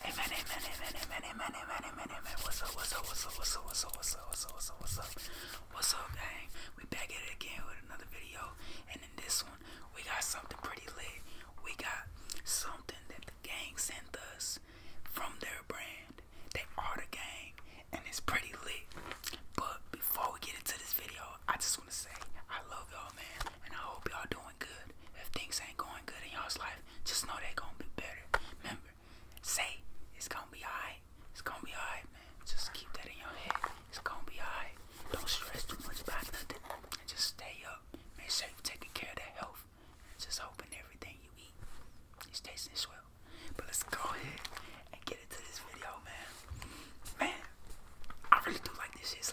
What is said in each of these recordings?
Amen, amen, amen, amen, amen, amen, amen, amen. What's up, what's up, what's up, what's up, what's up, what's up, what's up, what's up, what's up, what's up, gang? We back it again with another video. And in this one, we got something pretty lit. We got something that the gang sent us from their brand. They are the gang, and it's pretty lit. But before we get into this video, I just want to say I love y'all, man, and I hope y'all doing good. If things ain't going good in y'all's life, just know they gonna be better. Remember, say it's gonna be alright. It's gonna be alright, man. Just keep that in your head. It's gonna be alright. Don't stress too much about nothing. And just stay up. Make sure you taking care of that health. just hoping everything you eat is tasting swell. But let's go ahead and get into this video, man. Man, I really do like this shit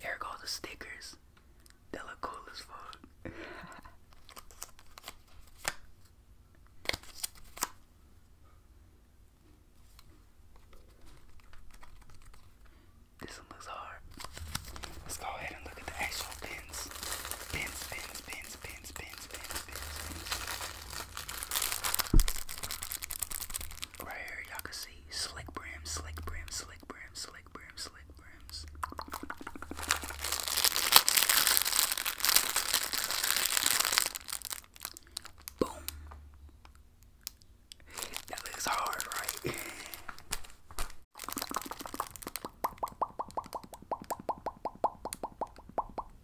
There go the stickers. They look cool as fuck. This one looks hard. Let's go ahead and look at the actual pins. Pins, pins, pins, pins, pins, pins, pins, pins. Right here, y'all can see slick brims, slick brims, slick brims, slick brims, slick brims. Boom. That looks hard, right?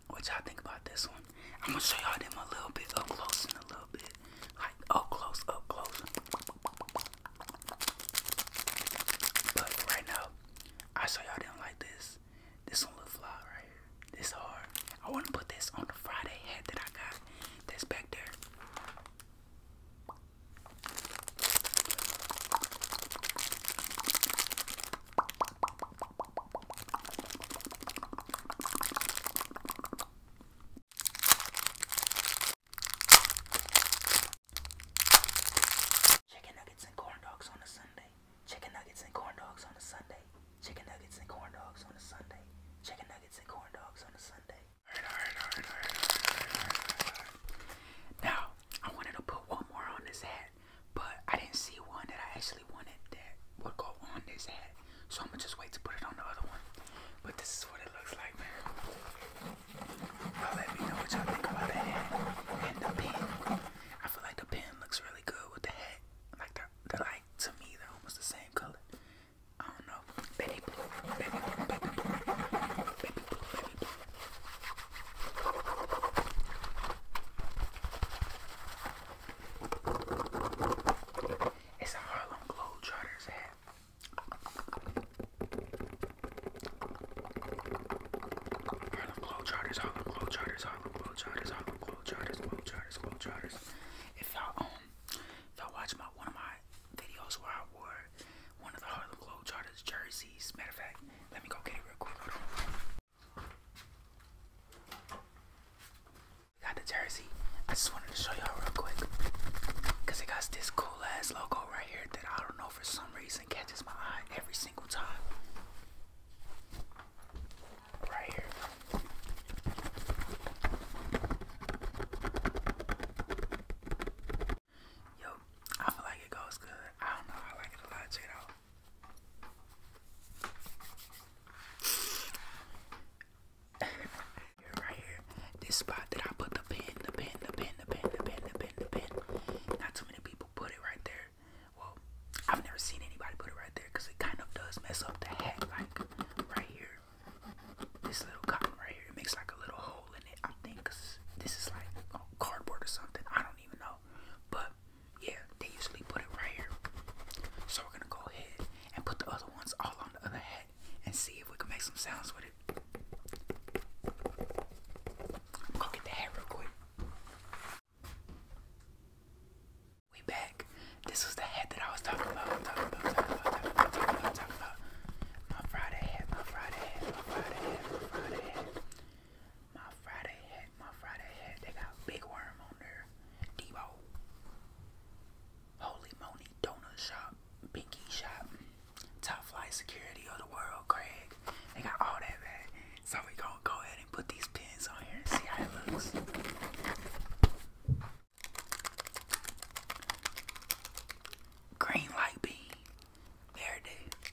what y'all think about this one? I'm gonna show y'all them a little bit up close and a little bit like up close, up close. But right now, I show y'all them like this. This one look fly right here. This hard. I wanna put this on the Friday head that I got. That's back there. Chicken nuggets and corn dogs on a Sunday. Chicken nuggets and corn dogs on a Sunday. Chicken nuggets and corn dogs on a Sunday. Chicken nuggets and corn dogs on a Sunday. Now, I wanted to put one more on this hat, but I didn't see one that I actually wanted that would go on this hat. So I'm gonna just wait to put it on the other one. But this is what it looks like, man. Y'all let me know what y'all think about the hat and the pen. I feel like the pen looks really good with the hat. Like the, the like to me they're almost the same color. I don't know. baby blue, baby blue, baby blue, baby blue. It's a Harlem Globetrotters hat. Harlem Globetrotters, Harlem Globetrotters, Harlem Globetrotters, Harlem Globetrotters, Globetrotters, Globetrotters. If y'all um, if y'all watch my one of my videos where I wore one of the Harlem Globetrotters jerseys. Matter of fact, let me go get it real quick. Got the jersey. I just wanted to show y'all real quick. Cause it got this cool ass logo right here that I don't know for some reason catches my eye every single time. Right here. Yo, I feel like it goes good. I don't know, I like it a lot, check it right here, this spot that I put the pin, the pin, the pin, the pin, the pin, the pin, the pin. Not too many people put it right there. Well, I've never seen anybody put it right there because it kind of does mess up the hat, like right here. This little cotton right here, it makes like a little hole in it. I think this is like oh, cardboard or something. I don't even know, but yeah, they usually put it right here. So we're gonna go ahead and put the other ones all on the other hat and see if we can make some sounds with it. Go get the hat real quick. We back. This was the hat that I was talking about. my Friday hat, my Friday hat, my Friday hat. My Friday hat, my Friday hat. They got Big Worm on there. Debo. Holy Money Donut Shop. Pinky Shop. Top Flight Security of the World, Craig. They got all that, So we going go ahead and put these pins on here and see how it looks. Green light bean. There it is.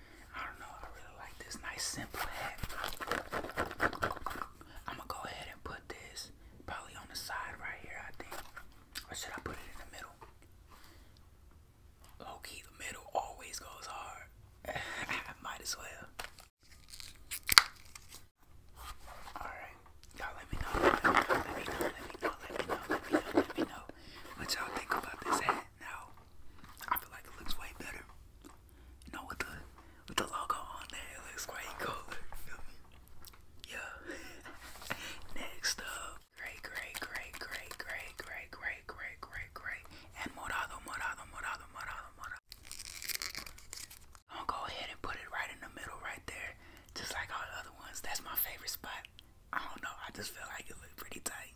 I don't know. I really like this nice simple hat. I'm gonna go ahead and put this probably on the side right here, I think. Or should I put it in the middle? Low key, the middle always goes hard. Might as well. Alright, y'all let me know. Let me know, let me know, let me know, let me know, let me know, let me know. What y'all think about this hat now? I feel like it looks way better. You know, with the with the logo on there, it looks way cooler. Yeah. Next up, great, great, great, great, great, great, great, great, great, great, and morado, morado, morado, morado, morado. I'm gonna go ahead and put it right in the middle, right there, just like all the other ones. That's my favorite spot. I don't know. I just feel like it looks pretty tight.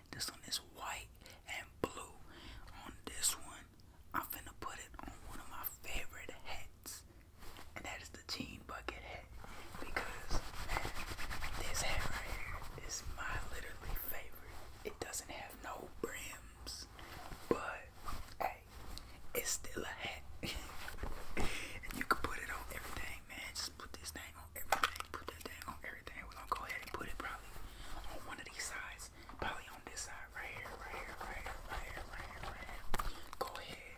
This one is white and blue. On this one, I'm finna put it on one of my favorite hats. And that is the jean bucket hat. Because this hat right here is my literally favorite. It doesn't have no brims. But hey, it's still a hat. and you can put it on everything, man. Just put this thing on everything. Put that down on everything. We're gonna go ahead and put it probably on one of these sides. Probably on this side, right here, right here, right here, right here, right here, right here. Go ahead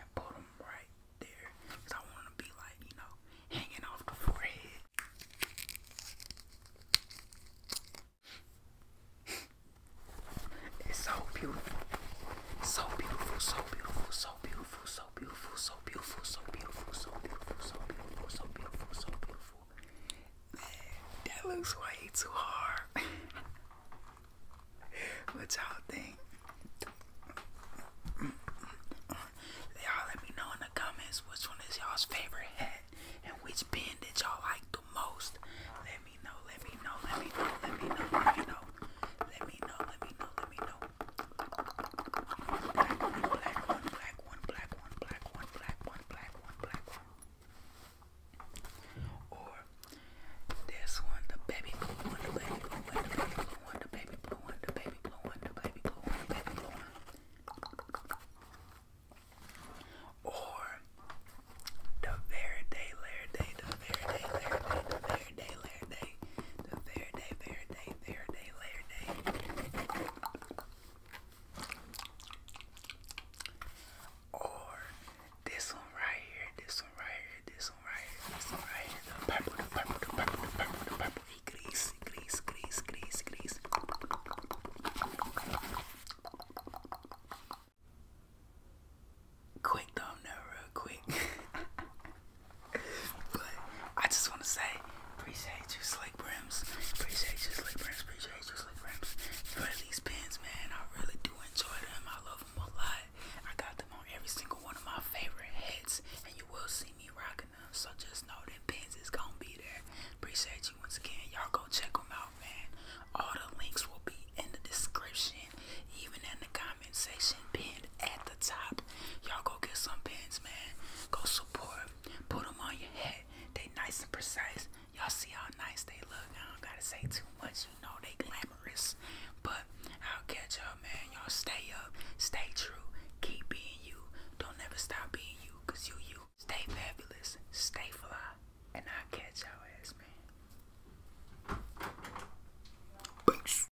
and put them right there. Cause I want them to be like, you know, hanging off the forehead. it's so beautiful. So beautiful, so beautiful, so beautiful, so so beautiful, so beautiful, so beautiful, so beautiful, so beautiful, so beautiful, so beautiful. Man, that looks way too hard. what y'all think? Y'all let me know in the comments which one is y'all's favorite hat and which pin that y'all like the most. Let me know, let me know, let me know, let me know, let me know. Let me know, let me know, let me know. Or this one, the baby blue one, the baby blue one, the baby blue one, the baby blue one, the baby blue Or the very day, the very day, the very day, the very day, Layer day, layer day. Or this one right here, this one right here, this one right here, this one right here. The purple, the purple, the purple, the purple, the purple. Grease, grease, grease, grease, grease. Quick thumbnail, real quick. but I just want to say, appreciate you, Slick Brims. Appreciate you, Slick Brims. Appreciate you, Slick Brims. For these pins, man, I really do enjoy them. I love them a lot. I got them on every single one of my favorite hats, and you will see me rocking them. So just know that pins is gonna be there. Appreciate you once again. Y'all go check them out, man. All the links will be in the description, even in the comment section pinned at the top. Y'all go get some pins, man. Go support. Put them on your head. They nice and precise. Y'all see how nice they look. I don't gotta say too much. You know they glamorous. But I'll catch y'all, man. Y'all stay up. Stay true. Keep being you. Don't ever stop being you. Cause you you. Stay fabulous. Stay fly. And I'll catch y'all ass, man. Peace.